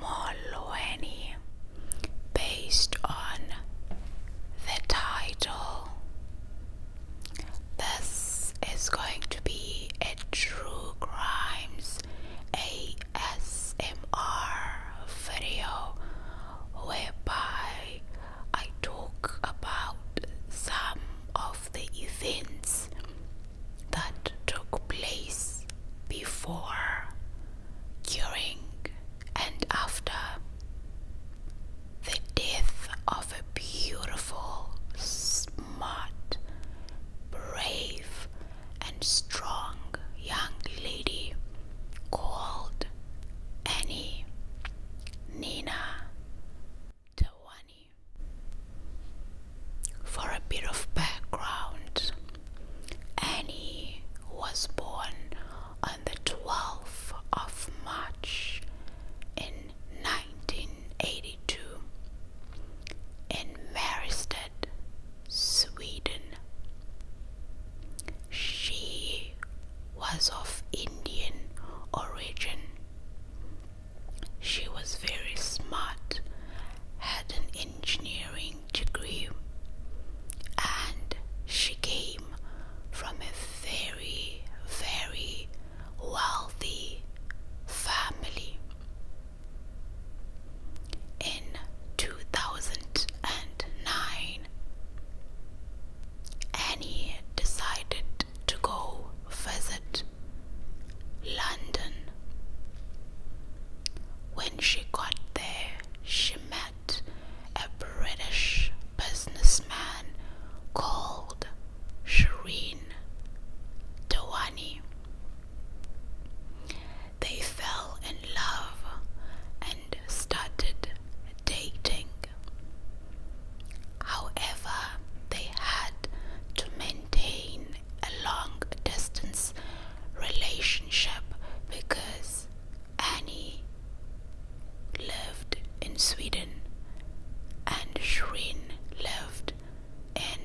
Molweni, based on the title. This is going to be a true crimes ASMR video whereby I talk about some of the events that took place before, during, and after the death of a beautiful, smart, brave, and strong young lady called Annie. Nina Tawani. For a bit of background, Annie was born on the 12th of March in 1982 in Mariestad, Sweden. She was of Indian origin. She was very smart, had an engineering degree, and she came from a very, very wealthy family. In 2009, and he decided to go visit London. When she got there, she met a British businessman called Shireen Dawani. They fell in love and started dating. However, they had to maintain a long distance relationship because Annie lived in Sweden and Shireen lived in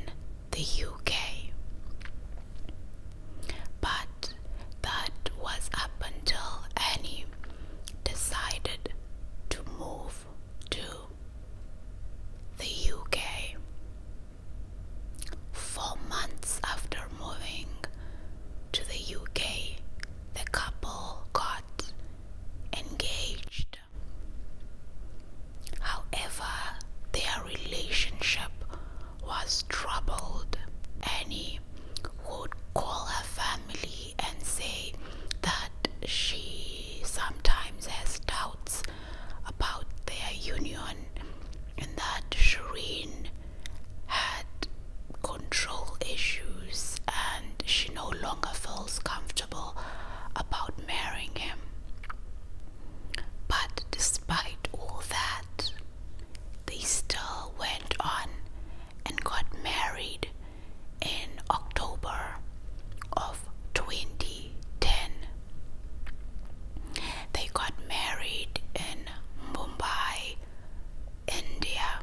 the UK. But that was up until Annie decided to move to the UK. Four months after moving to the UK, the couple got engaged. However, their relationship was troubled. Annie would call her family and say that she sometimes has doubts about their union and that Shireen had control issues and she no longer feels comfortable about marrying him. But despite all that, they still went on and got married in October of 2010. They got married in Mumbai, India.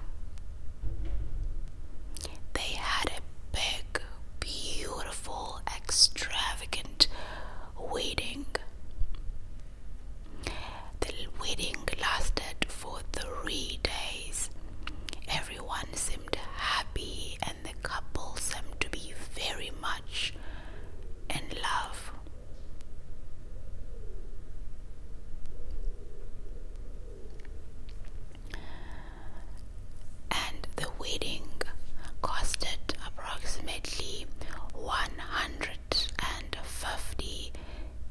They had a big, beautiful, extravagant wedding. The wedding lasted for three days. Everyone seemed happy, and the couple seemed to be very much in love. And the wedding costed approximately 150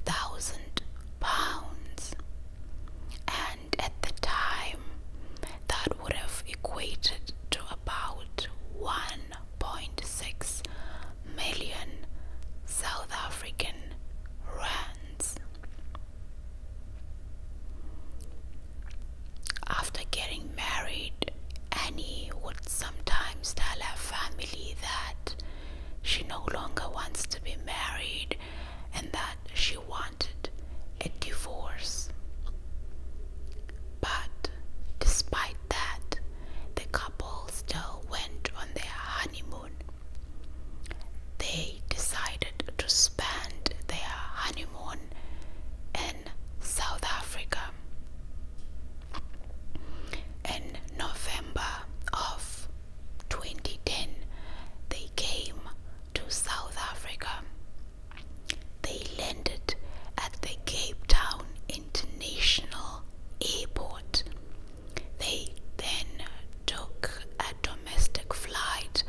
thousand pounds. And at the time, that would have equated to about 1.6 million South African rands. After getting married, Annie would sometimes tell her family that she no longer wants to be married and that she wanted a divorce. But despite that, the couple still went on their honeymoon. They decided to spend their honeymoon in South Africa. In November of 2010 they came to South Africa. They landed at the Cape Town International Airport. They then took a domestic flight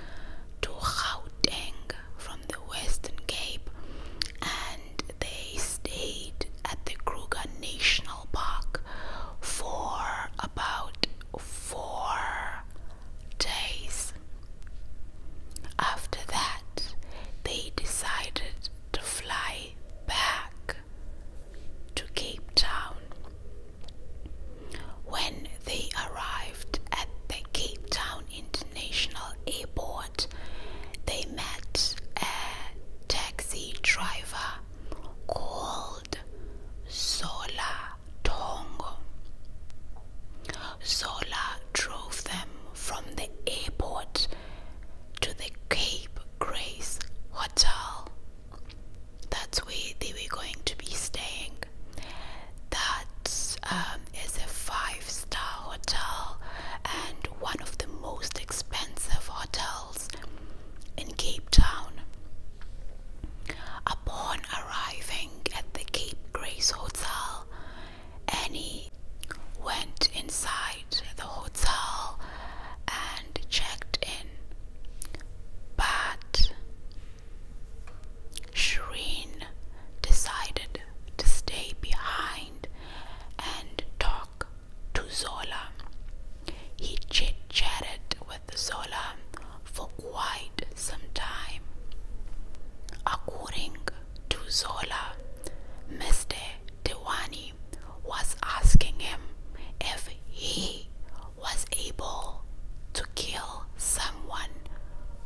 to Gauteng from the Western Cape and they stayed at the Kruger National original for about four days. After that, they decided to fly back to Cape Town. When they arrived at the Cape Town International Airport, they met a taxi driver called Zola Tongo. Zola drove them from the airport to the Cape Grace Hotel. That's where they were going to be staying. That um, is a five star hotel and one of the most expensive hotels in Cape Town. Upon arriving at the Cape Grace Hotel, Annie went inside the hotel and checked in. But Shireen decided to stay behind and talk to Zola. He chit chatted with Zola for quite some time. According to Zola, Mr. Dewani was asking him if he was able to kill someone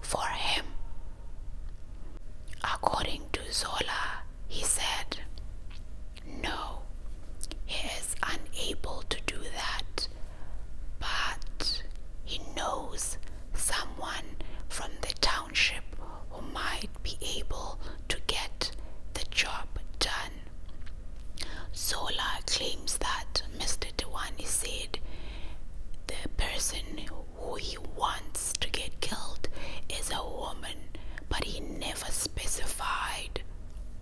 for him. According to Zola, he said, no, he is unable to do that, but he knows someone from the township who might be able to get the job done. Zola claims that Mr. Dewani said the person who he wants to get killed is a woman, but he never specified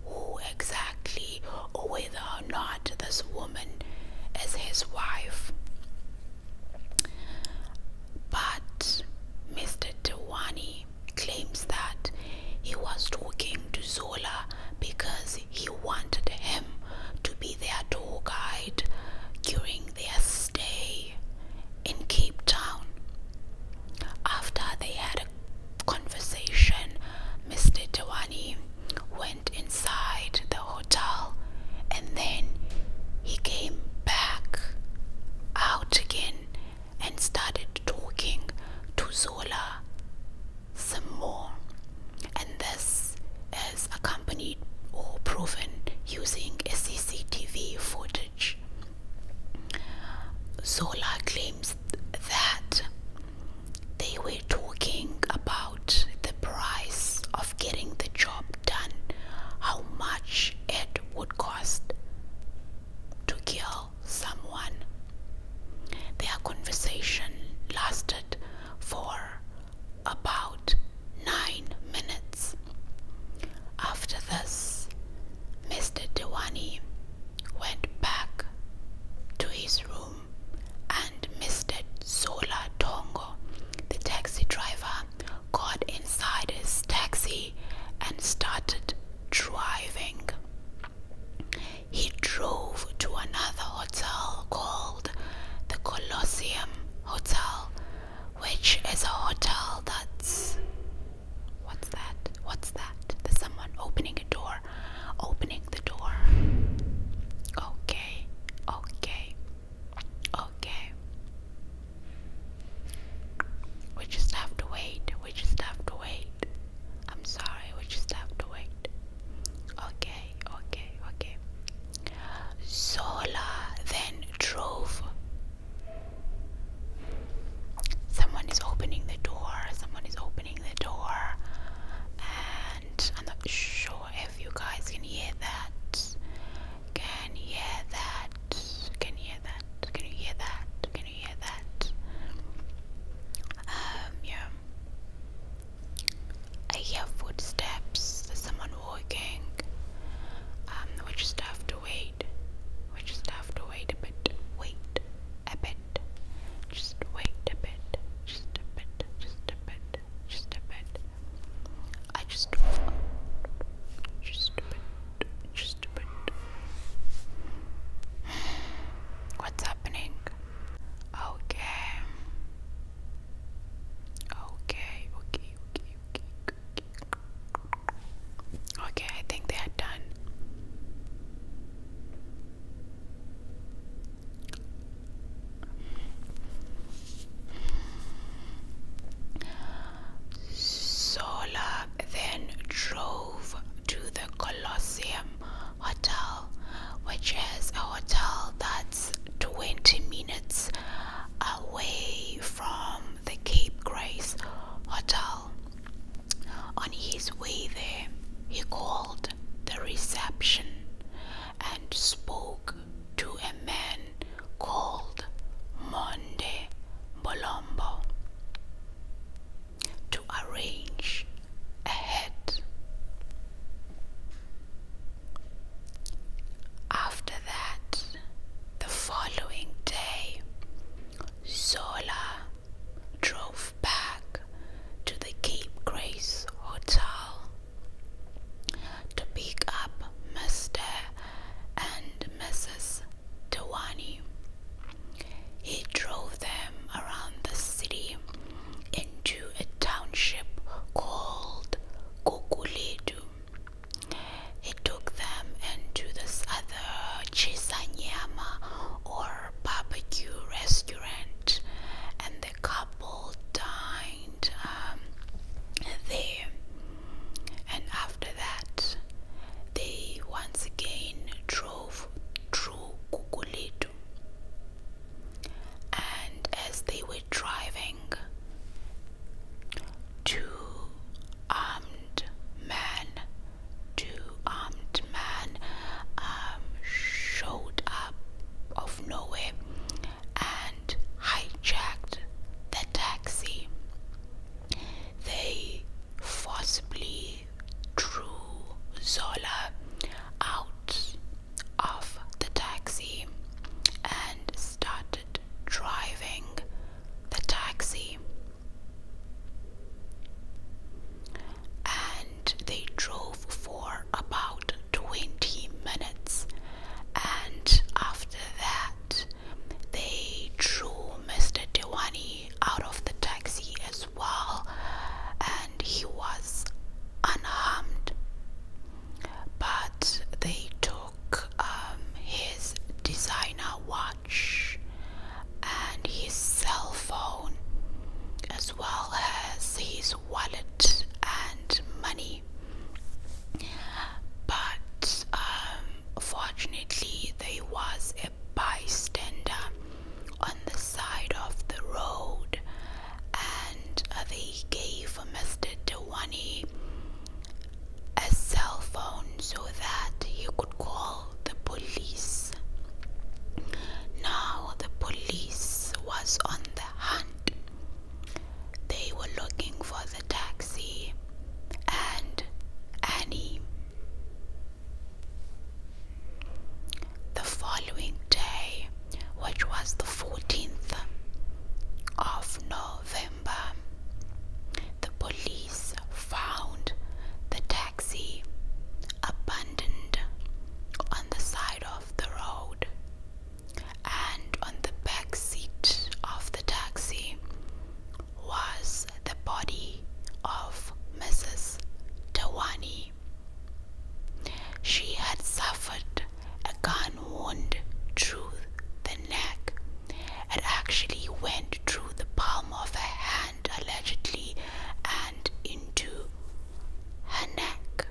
who exactly or whether or not this woman is his wife. But Mr. Dewani claims that he was talking to Zola because he wanted him to be their tour guide during their stay in Cape Town. After they had a conversation, Mr. Dewani went inside the hotel and then he came back out again and started talking to Zola some more. And this is accompanied or proven using a CCTV footage. Zola claims that they were talking about the price of getting the job done, how much it would cost to kill someone. Their conversation lasted for about nine minutes. After this, Mr. Dewani went back to his room and Mr. Zola Tongo, the taxi driver, got inside his taxi and started driving. He drove to another hotel called the Colosseum Hotel, which is a hotel that's What's that? What's that? someone opening a door. Opening the door. Okay. Okay. Okay. We just have to wait. We just have to wait. I'm sorry. We just have to wait. Okay. Okay. Okay. Zola then drove Someone is opening the door, someone is opening the door, and I'm not sure if you guys can hear that. Can you hear that? Can you hear that? Can you hear that? Can you hear that? Um, yeah. I hear footsteps, there's someone walking. Um, we just have to wait. We just have to wait a bit. Wait a bit bit, just wait a bit, just a bit, just a bit, just a bit. I just just a bit, just a bit. What's happening? Okay. Okay, okay, okay, okay, okay. Okay, I think they are done. Sola then drove to the Colosseum Hotel, which is a hotel that's 20 minutes away from the Cape Grace Hotel. On his way there, he called the reception and spoke to a man called Monde Bolombo to arrange ahead. After that, the following day, Zola drove back to the Cape Grace Hotel to pick up Mr. and Mrs. Dewani. He drove them around the city into a township called Kukuledu. He took them into this other Chisanyama or barbecue restaurant, and the couple dined um, there. And after that, they once again drove through Kukulitu. And as they were driving, two armed men two armed men um, showed up of nowhere and hijacked the taxi. They forcibly drew Zola out of the taxi and started driving the taxi and they drove for about 20 minutes and after that they drew Mr. Dewani out of the taxi as well and he was unharmed but they took um, his designer watch and his cell phone, as well as his wallet and money. But um, fortunately, there was a bystander on the side of the road, and uh, they gave Mr. Dewani a cell phone so that he could call the police. Now the police was on the hunt. They were looking for the taxi and Annie. The following day, which was the 14th of November, the police found the taxi taxi abandoned on the side of the road, and on the back seat of the taxi was the body of Mrs. Tawani. She had suffered a gun wound through the neck. and actually went through the palm of her hand allegedly and into her neck.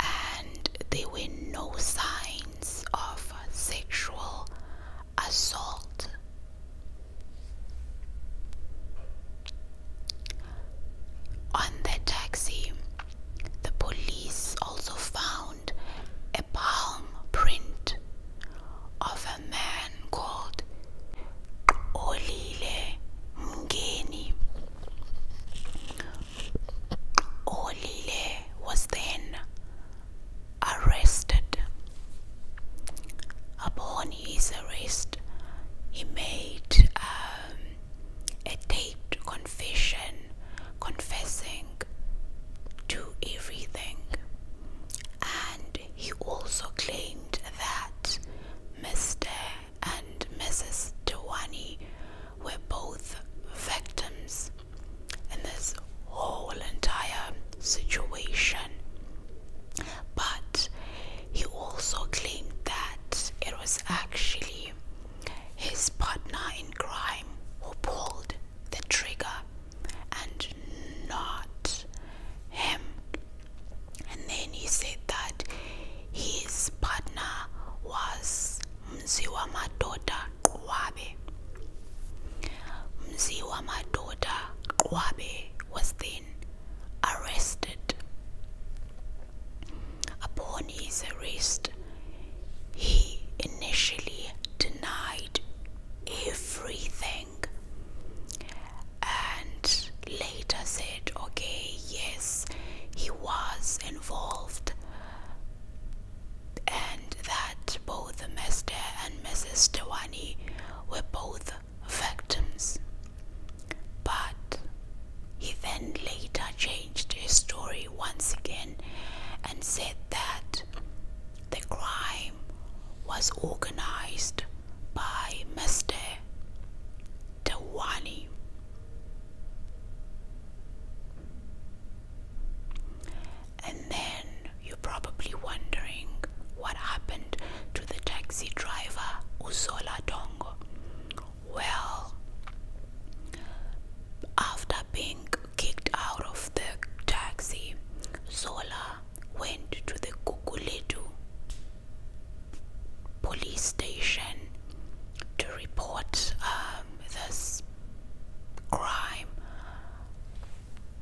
And there were no signs of sexual assault. On the taxi, the police also found a palm print of a man called Olile Mgeni. Olile was then arrested. Upon his arrest, he made um, a taped confession, confessing to everything and he also claimed that Mr. and Mrs. Dewani were both victims in this whole entire situation. But he also claimed that it was actually his partner in crime who pulled the trigger and not him. And then he said that his partner was Mziwa Madoda Kwabe. Mziwa Madoda Kwabe was then arrested. Upon his arrest, he initially denied everything and later said okay yes he was involved and that both Mr. and Mrs. Dewani were both victims. But he then later changed his story once again and said that the crime was organized by Mr. Dewani. And then you're probably wondering what happened to the taxi driver Uzola Dongo. Well, after being kicked out of the taxi, Zola went to the Kukuletu police station to report um, this crime,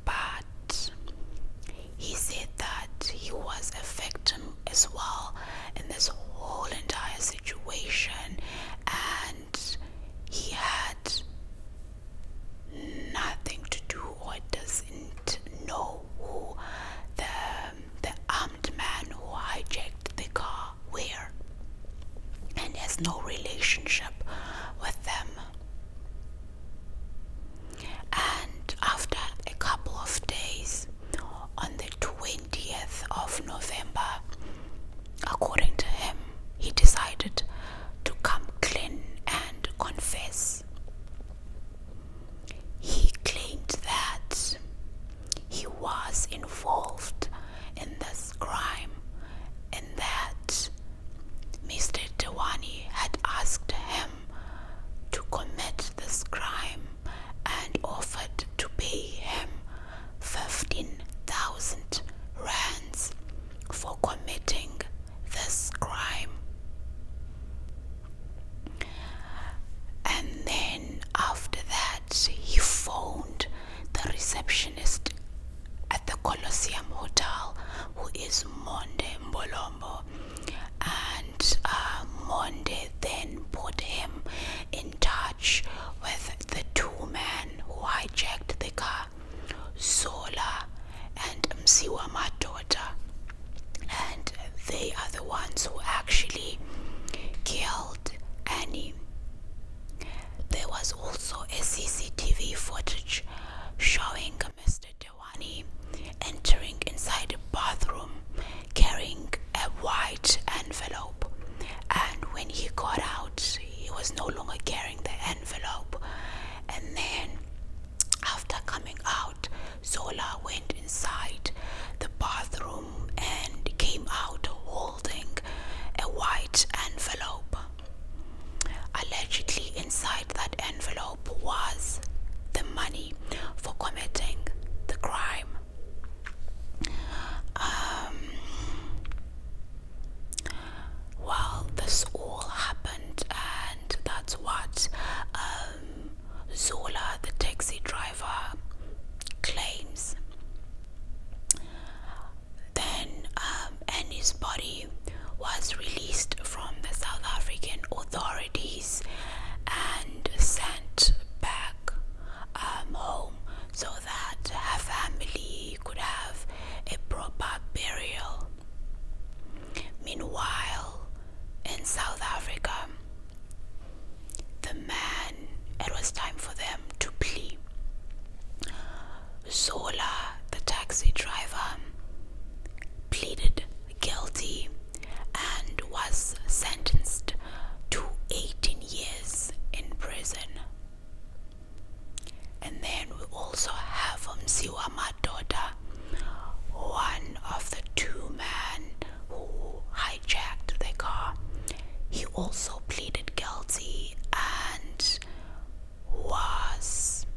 but he said that he was a victim as well in this whole entire situation and he had nothing to do or doesn't know who the the armed man who hijacked the car were and has no relationship with them and after a couple of days on the 20th of november according to him he decided to come clean and confess he claimed that he was involved in this crime and that Mr. Dewani had asked him to commit this crime and offered to pay him 15,000 rands for committing this crime. And then after that, he found the receptionist at the Colosseum Hotel, who is Monde Bolombo, and uh, Monde then put him in touch with the two men who hijacked the car, Zola and Msiwa, my daughter, and they are the ones who actually killed Annie. There was also a CCTV footage showing Mr. Dewani entering inside a bathroom carrying a white envelope, and when he got out, he was no longer carrying the envelope, and then after coming out, Zola went inside the bathroom and came out holding a white envelope. Allegedly, inside that envelope was the money for committing the crime. Um, this all happened and that's what um, Zola, the taxi driver, claims. Then um, Annie's body was released from the South African authorities and sent back um, home so that her family could have a proper burial. Meanwhile, in South Africa, the man, it was time for them to plea. Zola, the taxi driver, pleaded guilty and was sentenced to 18 years in prison. And then we also have Msiwama um, Madoda, one of the two men who hijacked the car. He also pleaded guilty and was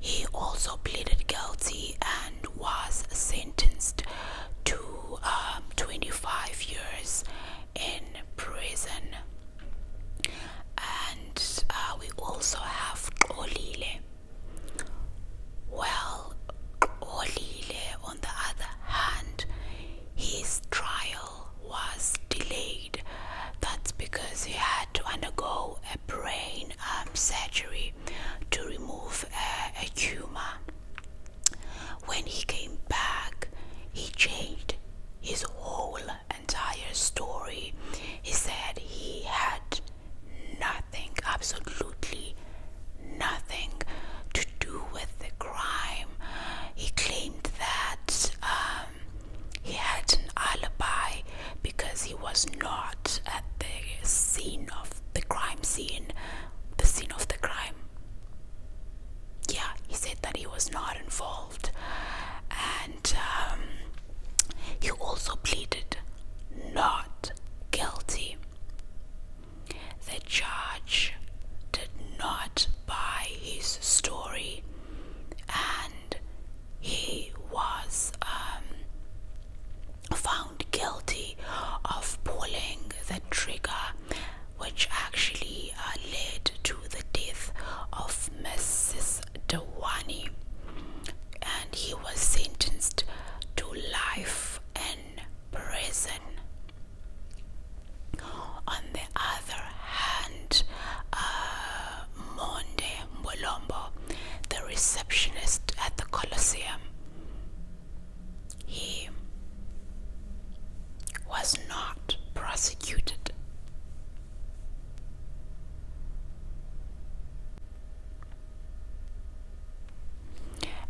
he also pleaded guilty and was sentenced to um, 25 years in prison and uh, we also have Olile. Well, Olile, on the other hand, his trial was delayed. That's because he had to undergo a brain um, surgery to remove a tumor. When he came back, he changed his whole entire story. He said he had nothing, absolutely nothing, to do with the crime. He claimed that um, he had an alibi because he was not at the scene of the crime scene, the scene of the crime yeah, he said that he was not involved, and um, he also pleaded not guilty. The judge did not buy his story, and he was um, found guilty of pulling the trigger which actually uh, led to the death of Mrs. Dewani, and he was sentenced to life in prison. On the other hand, uh, Monde the receptionist at the Colosseum, he was not prosecuted.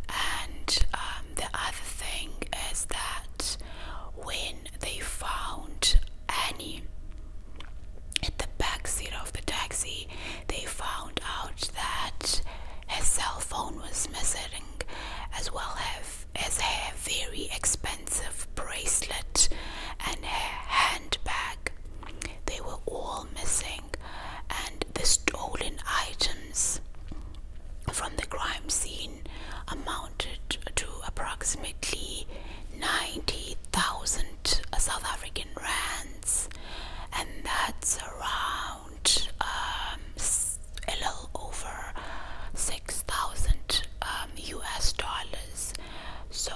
And um, the other thing is that when they found Annie at the back seat of the taxi, they found out that her cell phone was missing as well have, as her very expensive bracelet and her handbag. They were all missing, and the stolen items from the crime scene amounted to approximately 90,000 South African rands, and that's a around. Um, a little over 6,000 US um, dollars. So,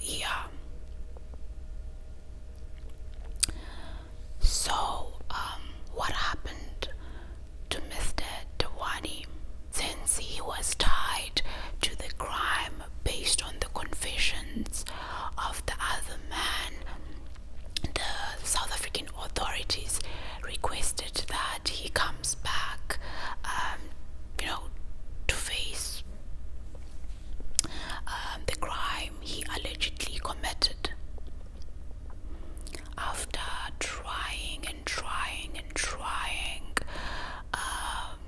yeah. So, um, what happened to Mr. Dewani since he was tied to the crime based on the confessions of the other man? the South African authorities requested that he comes back, um, you know, to face um, the crime he allegedly committed. After trying and trying and trying, um,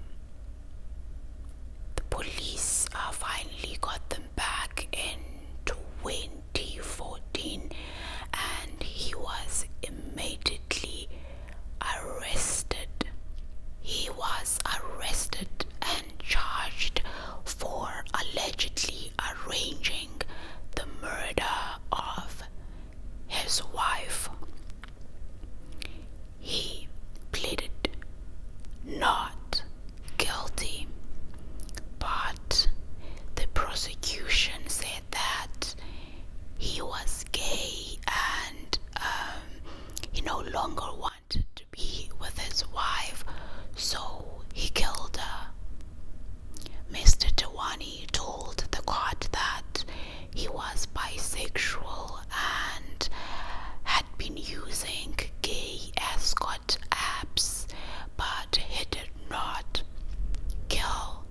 the police uh, finally got them back in to win fourteen, and he was immediately arrested. He was arrested and charged for allegedly arranging the murder of his wife. He pleaded not guilty. But the prosecution said that he was gay and um, he no longer wanted to be with his wife, so he killed her. Mr. Tawani told the court that he was bisexual and had been using gay as apps, but he did not kill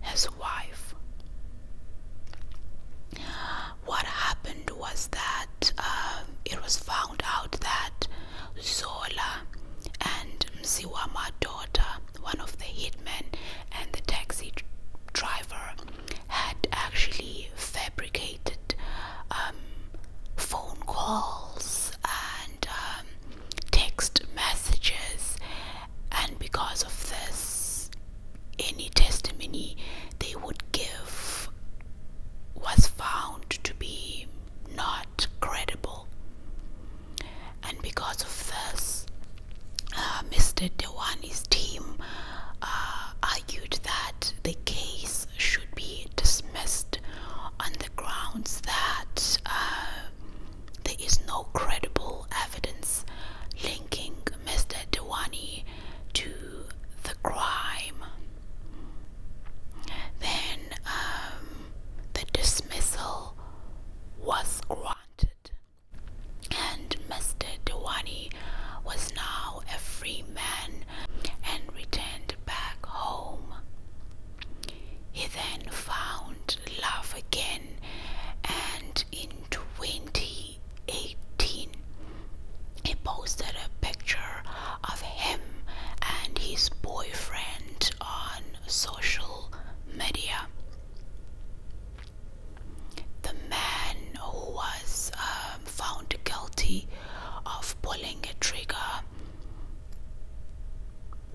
his wife. What happened was that um, it was found out that Zola and Mziwama's daughter, one of the hitmen and the taxi driver, had actually fabricated um, phone calls and. Um, text messages, and because of this, any testimony they would give was found to be not credible. And because of this, uh, Mr. Dewani's team uh, argued that the case should be dismissed on the grounds that uh, there is no credible evidence linking Mr. Dewani to the crime. Then um, the dismissal was granted, and Mr. Dewani was now a free man and returned back home. He then found love again, and in 2018, he posted a picture of him and his boyfriend on social media. The man who was um, found guilty of pulling a trigger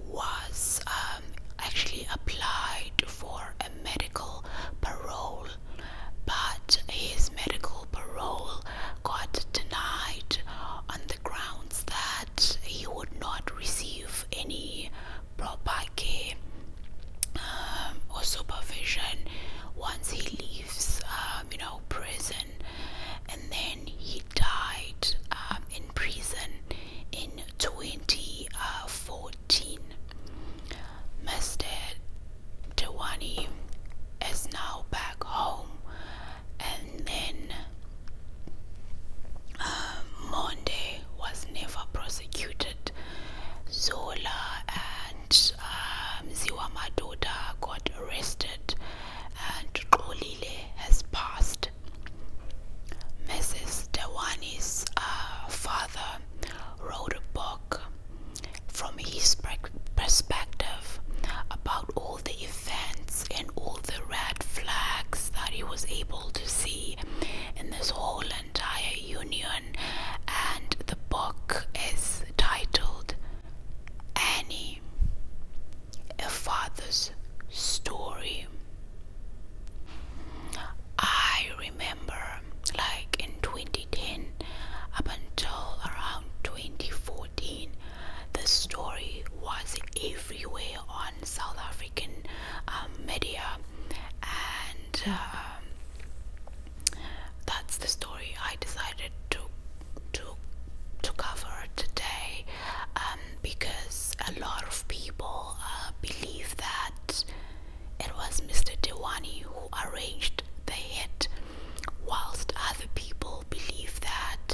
was um, actually applied for a medical parole, but his medical parole got denied on the grounds that he would not receive any proper care um, or supervision once he leaves, um, you know, prison, and then he died um, in prison in 2014. Mr. Dewani is now back home, and then um, Monday was never prosecuted. Zola and um, Ziwa got arrested and Olile has passed. Mrs. Dewani's uh, father wrote a book from his perspective about all the events and all the red flags that he was able to see in this whole entire union, and the book is titled Annie a father's story. I remember, like in 2010, up until around 2014, the story was everywhere on South African um, media, and um, that's the story I decided to to to cover today um, because a lot of people uh, believe that it was Mr. Dewani who arranged the hit, whilst other people believe that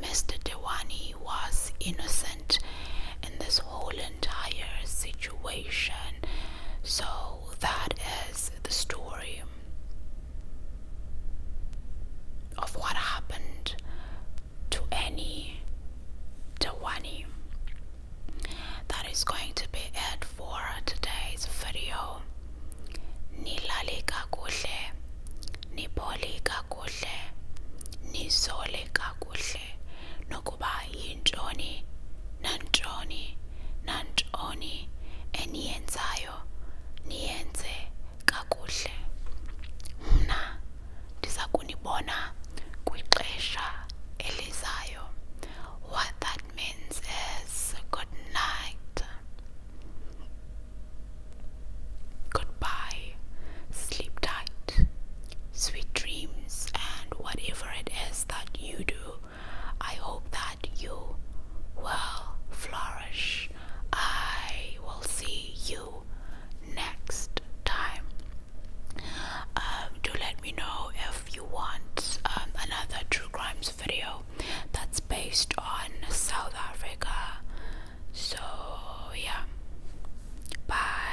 Mr. Dewani was innocent in this whole entire situation. So that is the story of what happened to any Dawani. That is going to be it for today's video. Nilali kakuhle, nipoli kakuhle, nisole kakuhle, nokuba yintoni, nantoni, nantoni, eniyenzayo, niyenze kakuhle mna ndiza kunibona kwixesha elizayo what that means is good night goodbye sleep tight sweet dreams and whatever it is that you do I hope that you will flourish I will see you next time. Um, let me know if you want um, another true crimes video that's based on South Africa. So, yeah, bye.